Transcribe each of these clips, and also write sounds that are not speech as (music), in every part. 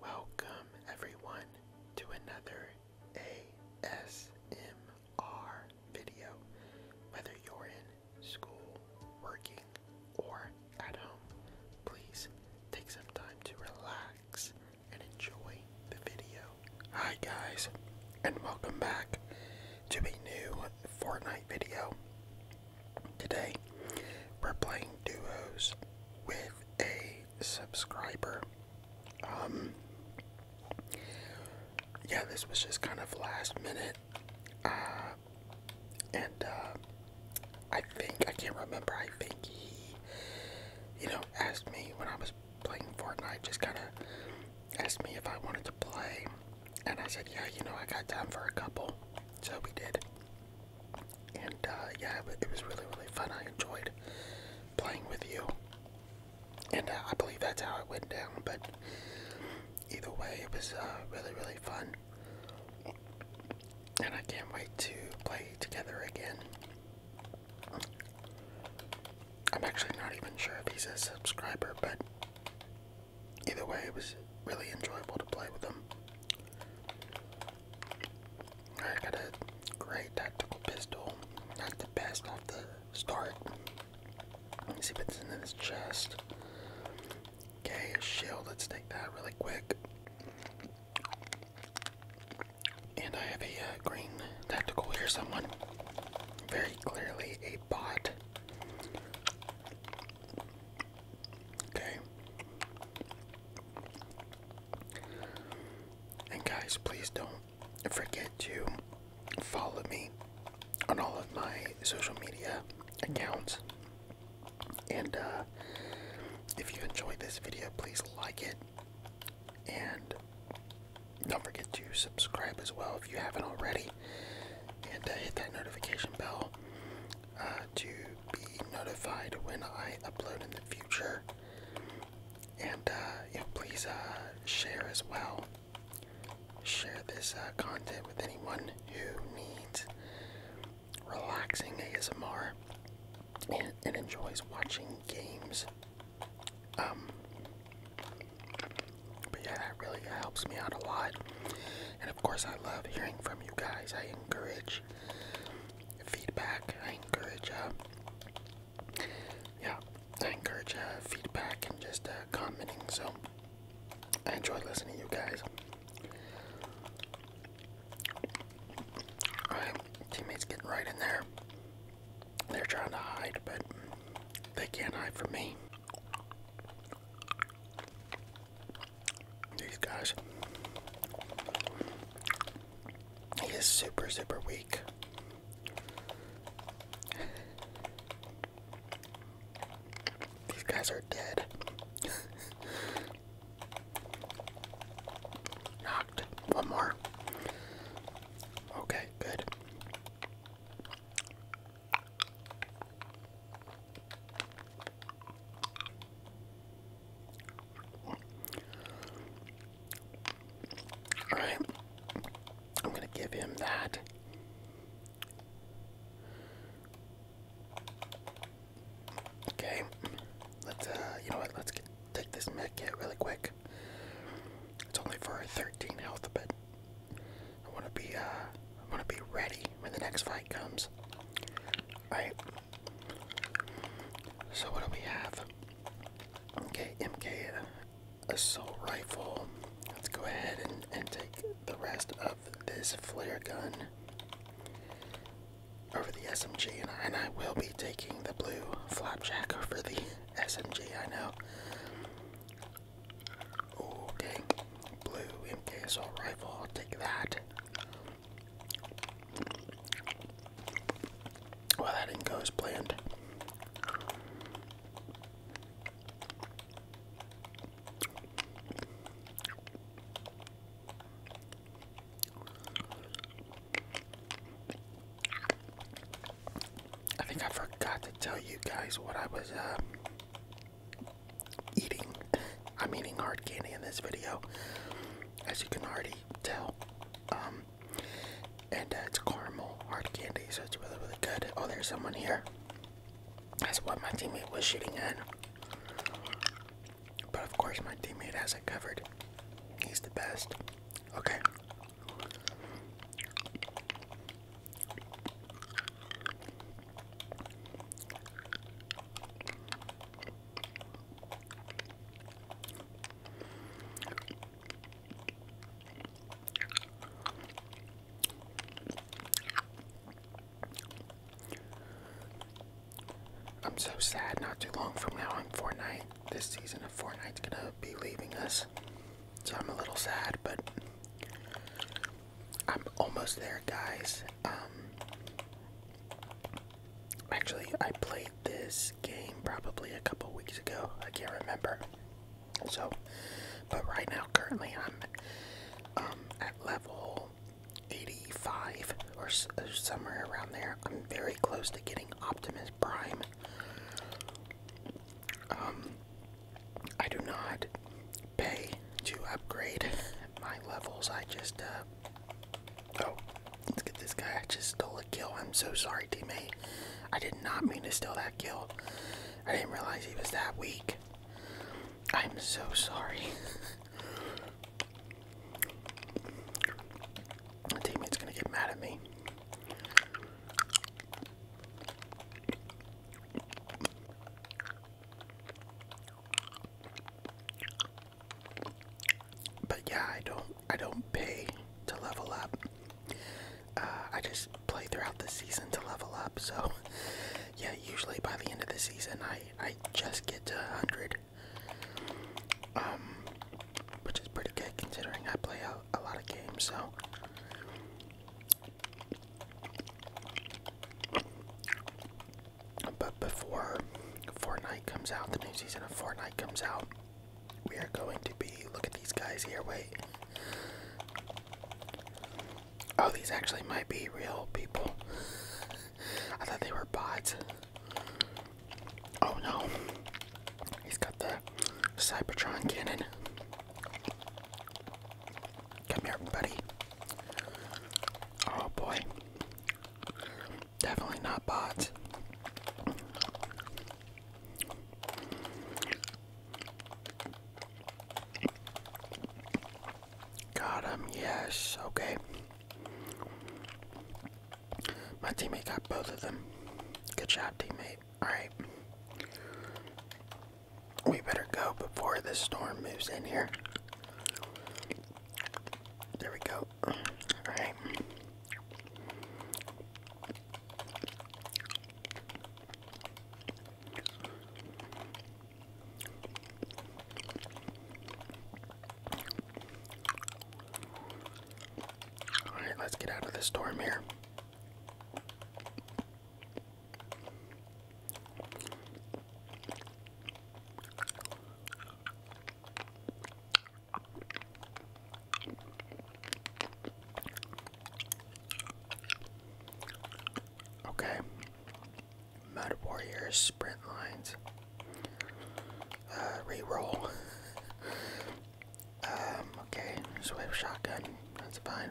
Welcome, everyone, to another ASMR video. Whether you're in school, working, or at home, please take some time to relax and enjoy the video. Hi, guys, and welcome back to a new Fortnite video. Today, we're playing duos with a subscriber. Um, yeah, this was just kind of last minute. Uh, and uh, I think, I can't remember, I think he, you know, asked me when I was playing Fortnite, just kind of asked me if I wanted to play. And I said, yeah, you know, I got time for a couple. So we did. And uh, yeah, it was really, really fun. I enjoyed playing with you. And uh, I believe that's how it went down. But either way, it was uh, really, really fun. And I can't wait to play together again. I'm actually not even sure if he's a subscriber, but either way, it was really enjoyable to play with him. I got a great tactical pistol. Not the best off the start. Let us see if it's in this chest. Okay, a shield. Let's take that really quick. And I have a uh, green tactical here, someone. Very clearly a bot. Okay. And guys, please don't forget to follow me on all of my social media accounts. And uh, if you enjoyed this video, please like it. And don't forget to subscribe as well if you haven't already. And uh, hit that notification bell uh, to be notified when I upload in the future. And uh, please uh, share as well. Share this uh, content with anyone who needs relaxing ASMR and enjoys watching games. Um, but yeah, that really helps me out a lot. And of course, I love hearing from you guys. I encourage feedback. I encourage, uh, yeah, I encourage uh, feedback and just uh, commenting. So I enjoy listening to you guys. Alright, teammates getting right in there. They're trying to hide, but they can't hide from me. These guys. He is super, super weak. These guys are dead. (laughs) Knocked. One more. Okay, good. All right. I'm going to give him that. Okay. Let's, uh, you know what? Let's get, take this med really quick. It's only for 13 health, but I want to be, uh, I want to be ready when the next fight comes. All right. So what do we have? Okay, MK assault rifle. Let's go ahead and, and take the rest of this flare gun over the SMG, and I, will be taking the blue flapjack over the SMG. (laughs) I know. Okay, blue MK assault rifle. I'll take that. Well, that didn't go as planned. I think I forgot to tell you guys what I was uh, eating. (laughs) I'm eating hard candy in this video as you can already tell. Um, and uh, it's caramel hard candy, so it's really, really good. Oh, there's someone here. That's what my teammate was shooting at. But of course, my teammate has it covered. He's the best. Okay. I'm so sad not too long from now I'm Fortnite. This season of Fortnite's gonna be leaving us. So I'm a little sad, but I'm almost there, guys. Um, Actually, I played this game probably a couple weeks ago. I can't remember. So, but right now, currently, I'm um, at level 85 or somewhere around there. I'm very close to getting Optimus Prime. Um, I do not pay to upgrade (laughs) my levels. I just uh, Oh, let's get this guy. I just stole a kill. I'm so sorry, teammate. I did not mean to steal that kill. I didn't realize he was that weak. I'm so sorry. (laughs) My teammate's gonna get mad at me. But yeah, I don't I don't pay to level up. Uh, I just play throughout the season to level up. So (laughs) yeah, usually by the end of the season, I I just get to 100, um, which is pretty good considering I play a, a lot of games. So. But before Fortnite comes out, the new season of Fortnite comes out, we are going to be. Look at these guys here. Wait. Oh, these actually might be real people. I thought they were bots. Oh no. He's got the Cybertron cannon. Come here, buddy. Oh boy. Definitely not bots. Got him, yes, okay. My teammate got both of them. Good job, teammate. Alright. We better go before this storm moves in here. There we go. All right. All right, let's get out of the storm here. Okay. Mud Warriors sprint lines. Uh, reroll. (laughs) um, okay, so shotgun. That's fine.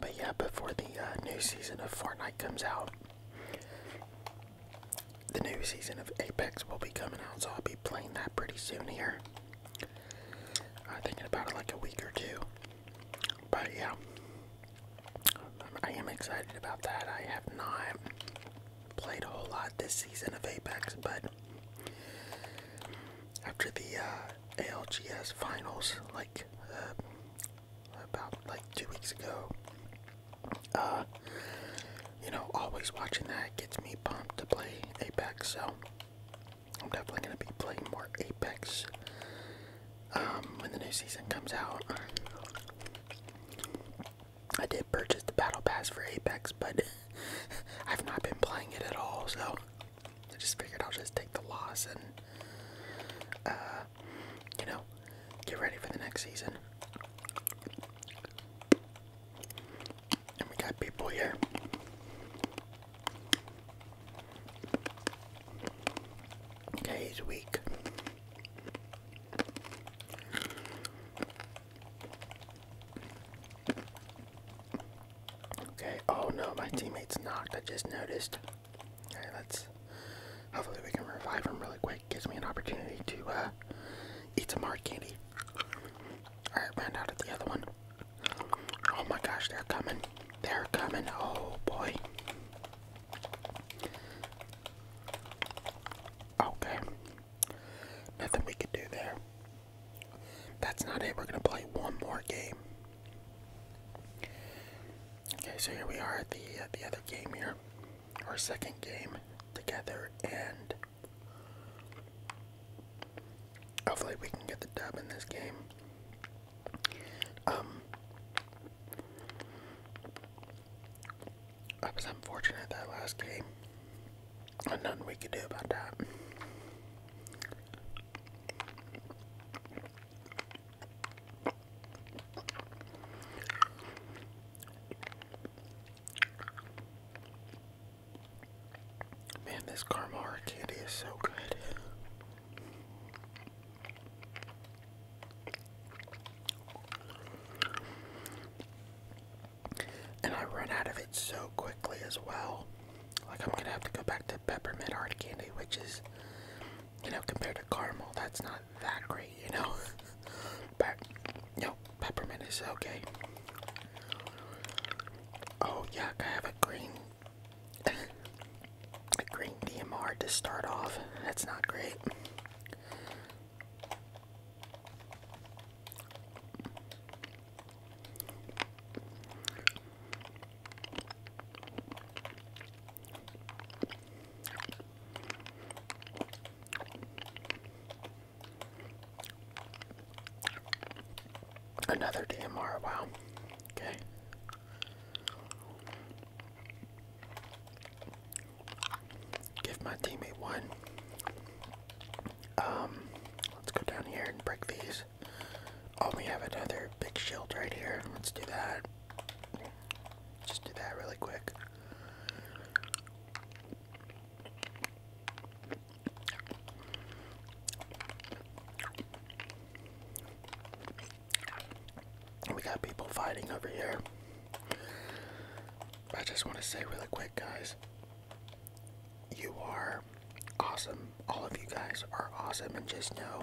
But yeah, before the uh, new season of Fortnite comes out, the new season of Apex will be coming out, so I'll be playing that pretty soon here. i think uh, about like a week or two. But yeah, um, I am excited about that. I have not played a whole lot this season of Apex, but after the uh, ALGS finals, like uh, about like two weeks ago. Uh, you know, always watching that gets me pumped to play Apex, so I'm definitely gonna be playing more Apex um, when the new season comes out. I did purchase the Battle Pass for Apex, but (laughs) I've not been playing it at all, so I just figured I'll just take the loss and uh, you know, get ready for the next season. And we got people here. Okay, he's weak. Okay, oh no, my teammate's knocked, I just noticed. Alright, let's. Hopefully, we can revive him really quick. Gives me an opportunity to uh, eat some hard candy. Alright, ran out of the other one. Oh my gosh, they're coming. They're coming. Oh boy. Okay. Nothing we can do there. That's not it. We're going to play one more game. Okay, so here we are at the the other game here, our second game together, and hopefully we can get the dub in this game. Um, I was unfortunate that last game, and nothing we could do about that. Man, this Carmara candy is so good. And I run out of it so quickly as well. Like, I'm gonna have to go back to peppermint hard candy, which is you know, compared to caramel, that's not that great, you know. (laughs) but you peppermint is okay. Oh yuck! I have a green, (coughs) a green DMR to start off. That's not great. Another DMR, wow. Okay. Give my teammate one. Um, let's go down here and break these. Oh, we have another big shield right here. Let's do that. Just do that really quick. We got people fighting over here. I just want to say really quick, guys, you are awesome. All of you guys are awesome, and just know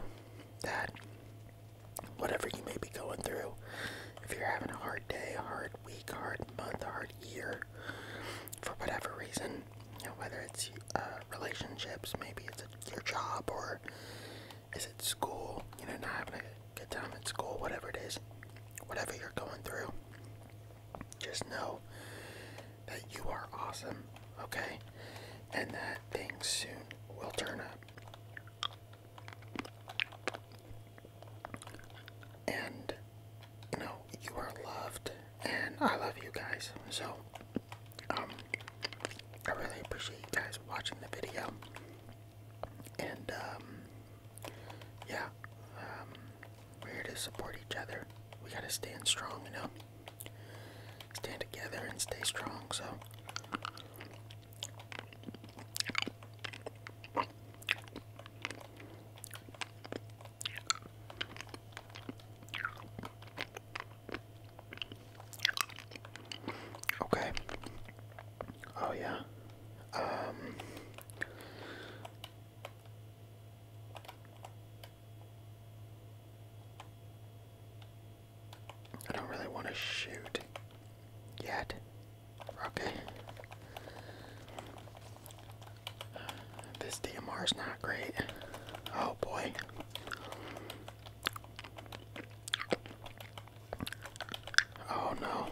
that whatever you may be going through. If you're having a hard day, a hard week, a hard month, a hard year, for whatever reason, you know, whether it's uh, relationships, maybe it's your job, or is it school, you know, not having a good time at school, whatever it is, whatever you're going through, just know that you are awesome, okay? And that things soon we will turn up. And you know, you are loved and I love you guys. So um I really appreciate you guys watching the video. And um, yeah, um, we're here to support each other. We gotta stand strong, you know stand together and stay strong. So, okay. Oh, yeah. Um, I don't really want to shoot yet. Okay. This DMR is not great. Oh boy. Oh no.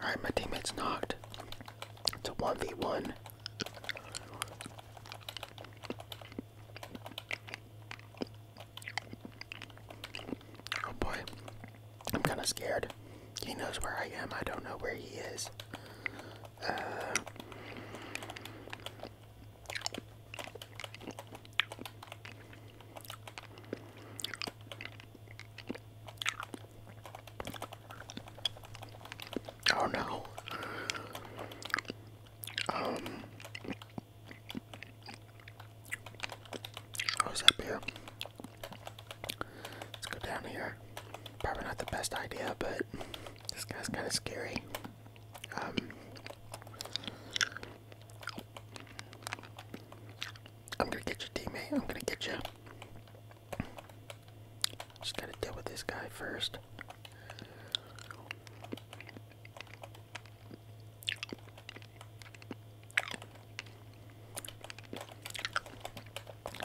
Alright, my teammate's knocked. It's a 1v1. Oh boy. I'm kind of scared. He knows where I am. I don't know where he is. Uh, Oh no. Um How's that beer? Let's go down here. Probably not the best idea, but this guy's kinda scary. Um I'm gonna get you, teammate. I'm gonna get you. Just gotta deal with this guy first.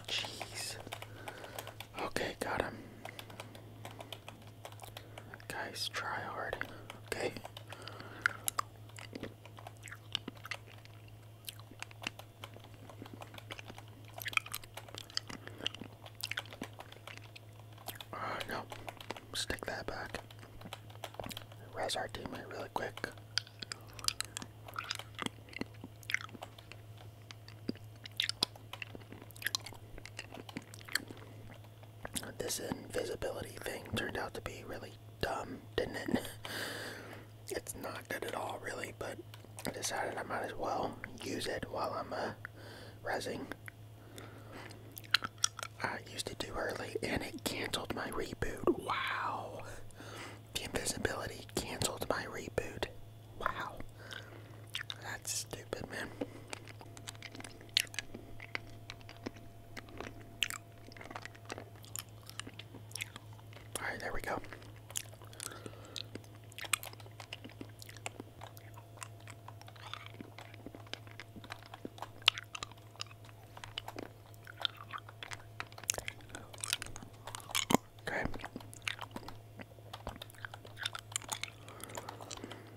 Jeez. Okay, got him. Guys, try hard. Okay. Uh, no, stick that back. Res our teammate really quick this invisibility thing turned out to be really dumb, didn't it? (laughs) it's not good at all, really, but I decided I might as well use it while I'm uh, resing. I used it too early and it canceled my reboot. Wow. The invisibility canceled my reboot. Wow. That's stupid, man. All right, there we go. Okay.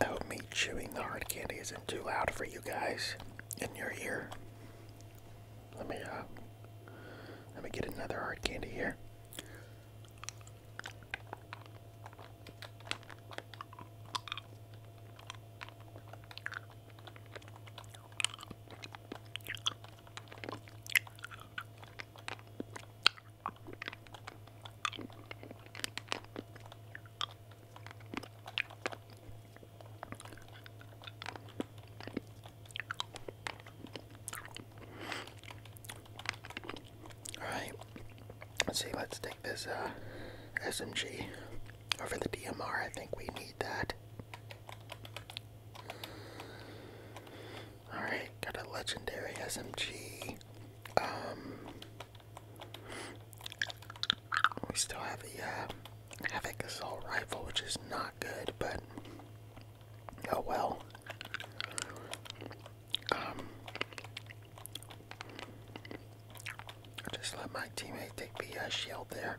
I hope me chewing the hard candy isn't too loud for you guys in your ear. Let me uh, let me get another hard candy here. Alright, let's see, let's take this uh, SMG over the DMR. I think we need that. Alright, got a legendary SMG. Um, we still have a uh, Havoc Assault Rifle, which is not good, but oh well. Um, I just let my teammate take the uh, shield there.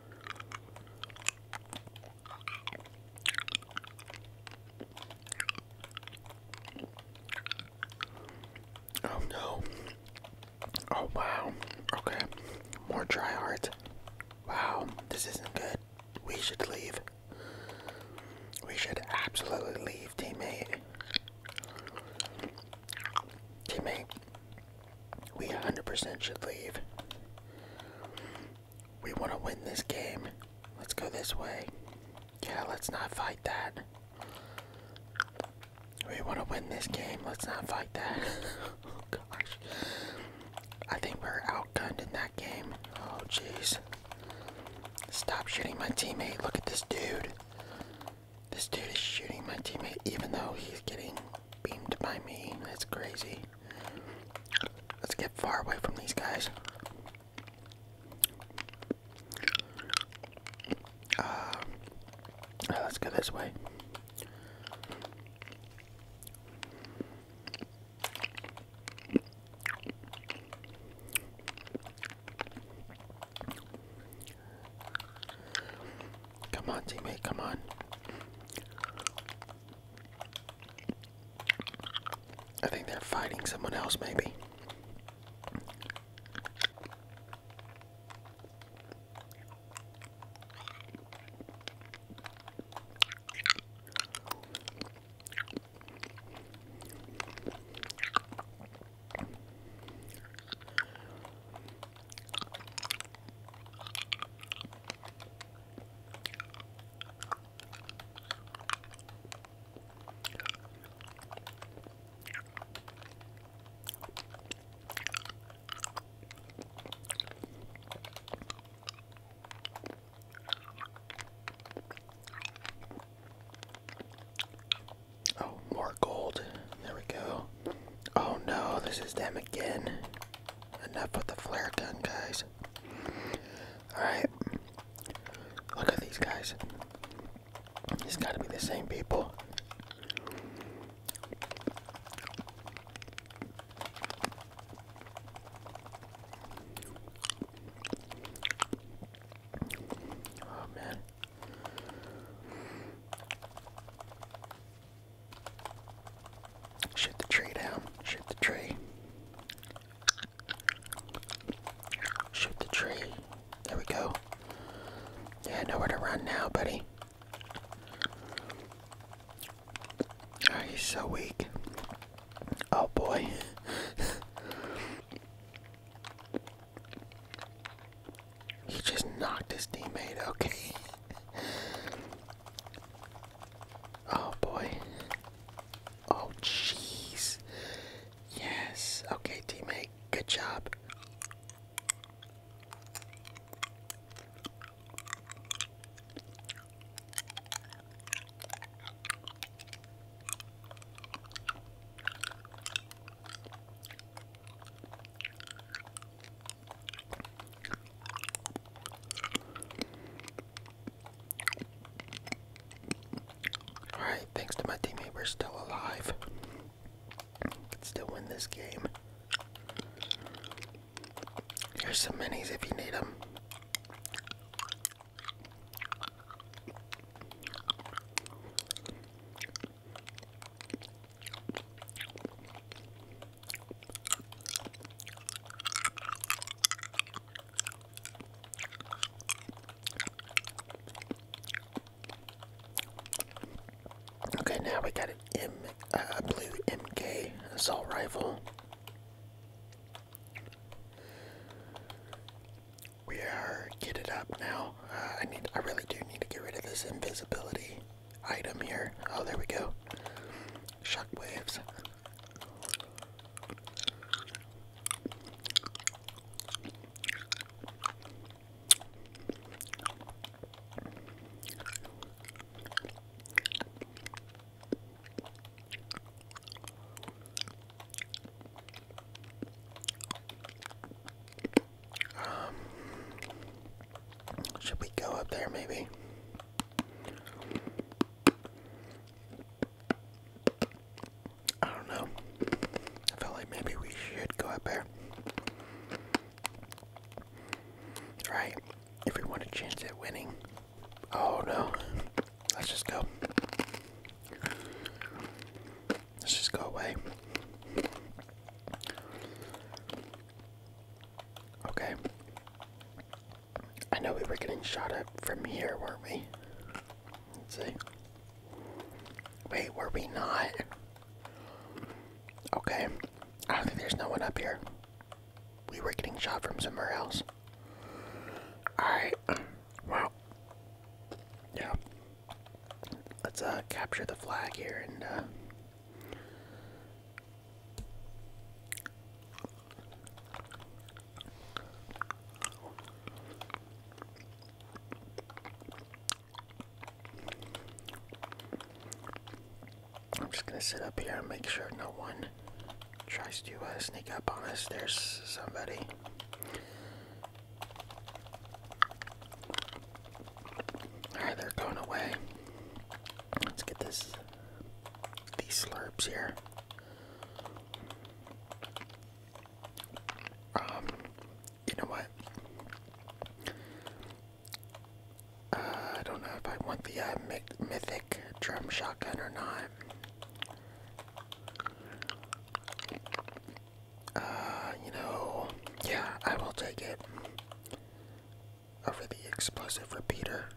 Oh no. Oh wow. Okay. More dry heart. Wow. This isn't good. We should leave. We should absolutely leave, teammate. Teammate, we 100% should leave. We want to win this game. Let's go this way. Yeah, let's not fight that. We want to win this game. Let's not fight that. (laughs) oh, gosh. I think we're outgunned in that game. Oh, jeez. Stop shooting my teammate. Look at this dude. This dude is shooting my teammate even though he's getting beamed by me. That's crazy. Let's get far away from these guys. Uh, let's go this way. Come on, teammate, come on. I think they're fighting someone else, maybe. Oh, more gold. There we go. Oh no, this is them again. Enough with the flare gun, guys. Alright. Look at these guys. It's gotta be the same people. Oh man. Shoot the tree down. Shoot the tree. Shoot the tree. There we go. Yeah, nowhere to run now, buddy. Oh, he's so weak. Oh boy. (laughs) he just knocked his teammate. Okay. Oh boy. Oh jeez. Yes. Okay, teammate. Good job. Alright, thanks to my teammate, we're still alive. Could still win this game. Here's some minis if you need them. Okay, now we got an M, uh, blue MK assault rifle. We are kitted up now. Uh, I need. I really do need to get rid of this invisibility item here. Oh, there we go. Shockwaves. Um, should we go up there maybe? I don't know. I felt like maybe we should go up there. Right? If we want a chance at winning. Oh no. Let's just go. Let's just go away. Okay. I know we were getting shot at from here, weren't we? Let's see. Wait, were we not? Okay. I don't think there's no one up here. We were getting shot from somewhere else. Alright. Wow. Yeah. Let's uh, capture the flag here and uh, I'm just gonna sit up here and make sure no one tries to uh, sneak up on us. There's somebody. Alright, they're going away. Let's get this these slurps here. Um, you know what? Uh, I don't know if I want the uh, mythic drum shotgun or not. Uh, you know, yeah, I will take it over the explosive repeater.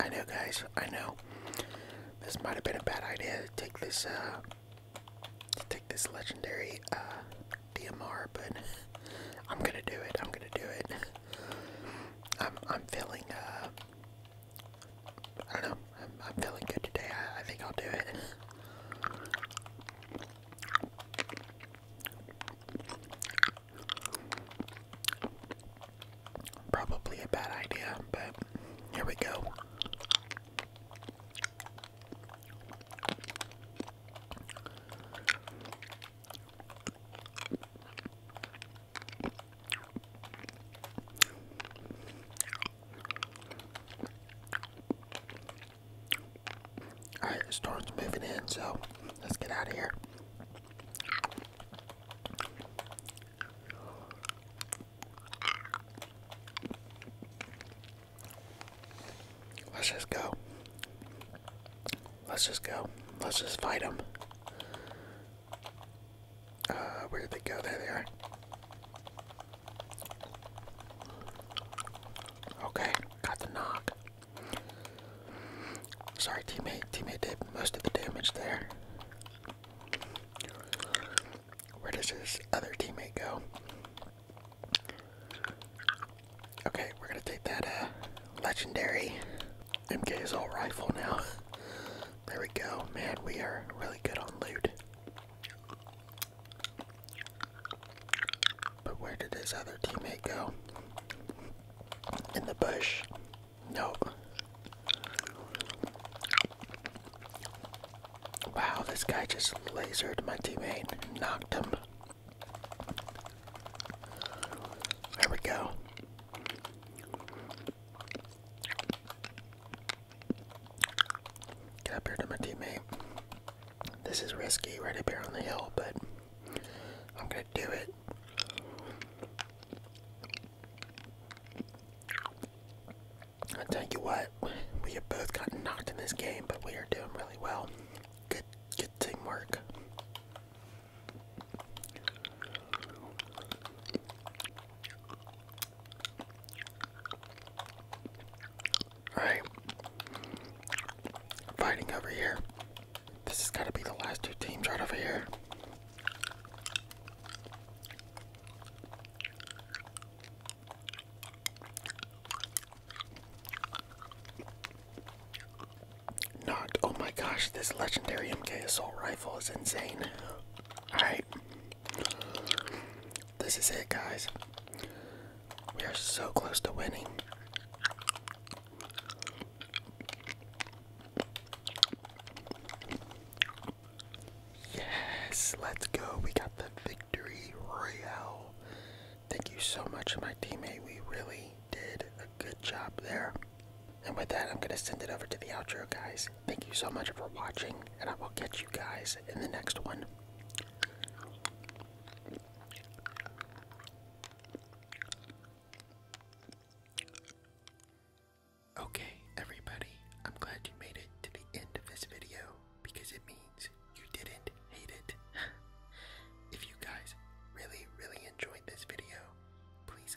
I know, guys, I know. This might have been a bad idea to take this, uh, take this legendary, uh, DMR, but (laughs) I'm gonna do it, I'm gonna do it. I'm, I'm feeling, uh, I don't know. I'm, feeling good today. I think I'll do it. Probably a bad idea, but here we go. Alright, storm's moving in, so let's get out of here. Let's just go. Let's just go. Let's just fight him. Uh, where did they go? There they are. Okay, got the knock. Sorry, teammate. Teammate did most of the damage there. Where does this other teammate go? Okay, we're gonna take that uh, legendary MK is all rifle now. There we go. Man, we are really good on loot. But where did his other teammate go? In the bush. Nope. Wow, this guy just lasered my teammate, knocked him. There we go. Get up here to my teammate. This is risky right up here on the hill, but I'm gonna do it. I tell you what, we have both gotten knocked in this game, but we are doing really well. Good, good teamwork. Alright. Fighting over here. This has got to be the last two teams right over here. Not. Oh my gosh, this legendary MK is all right. It's insane. Alright. This is it, guys. We are so close to winning. Yes, let's go. We got the victory royale. Thank you so much, my teammate. We really did a good job there. And with that, I'm going to send it over to the outro, guys. Thank you so much for watching, and I will catch you guys in the next one. Okay, everybody, I'm glad you made it to the end of this video because it means you didn't hate it. (laughs) if you guys really, really enjoyed this video, please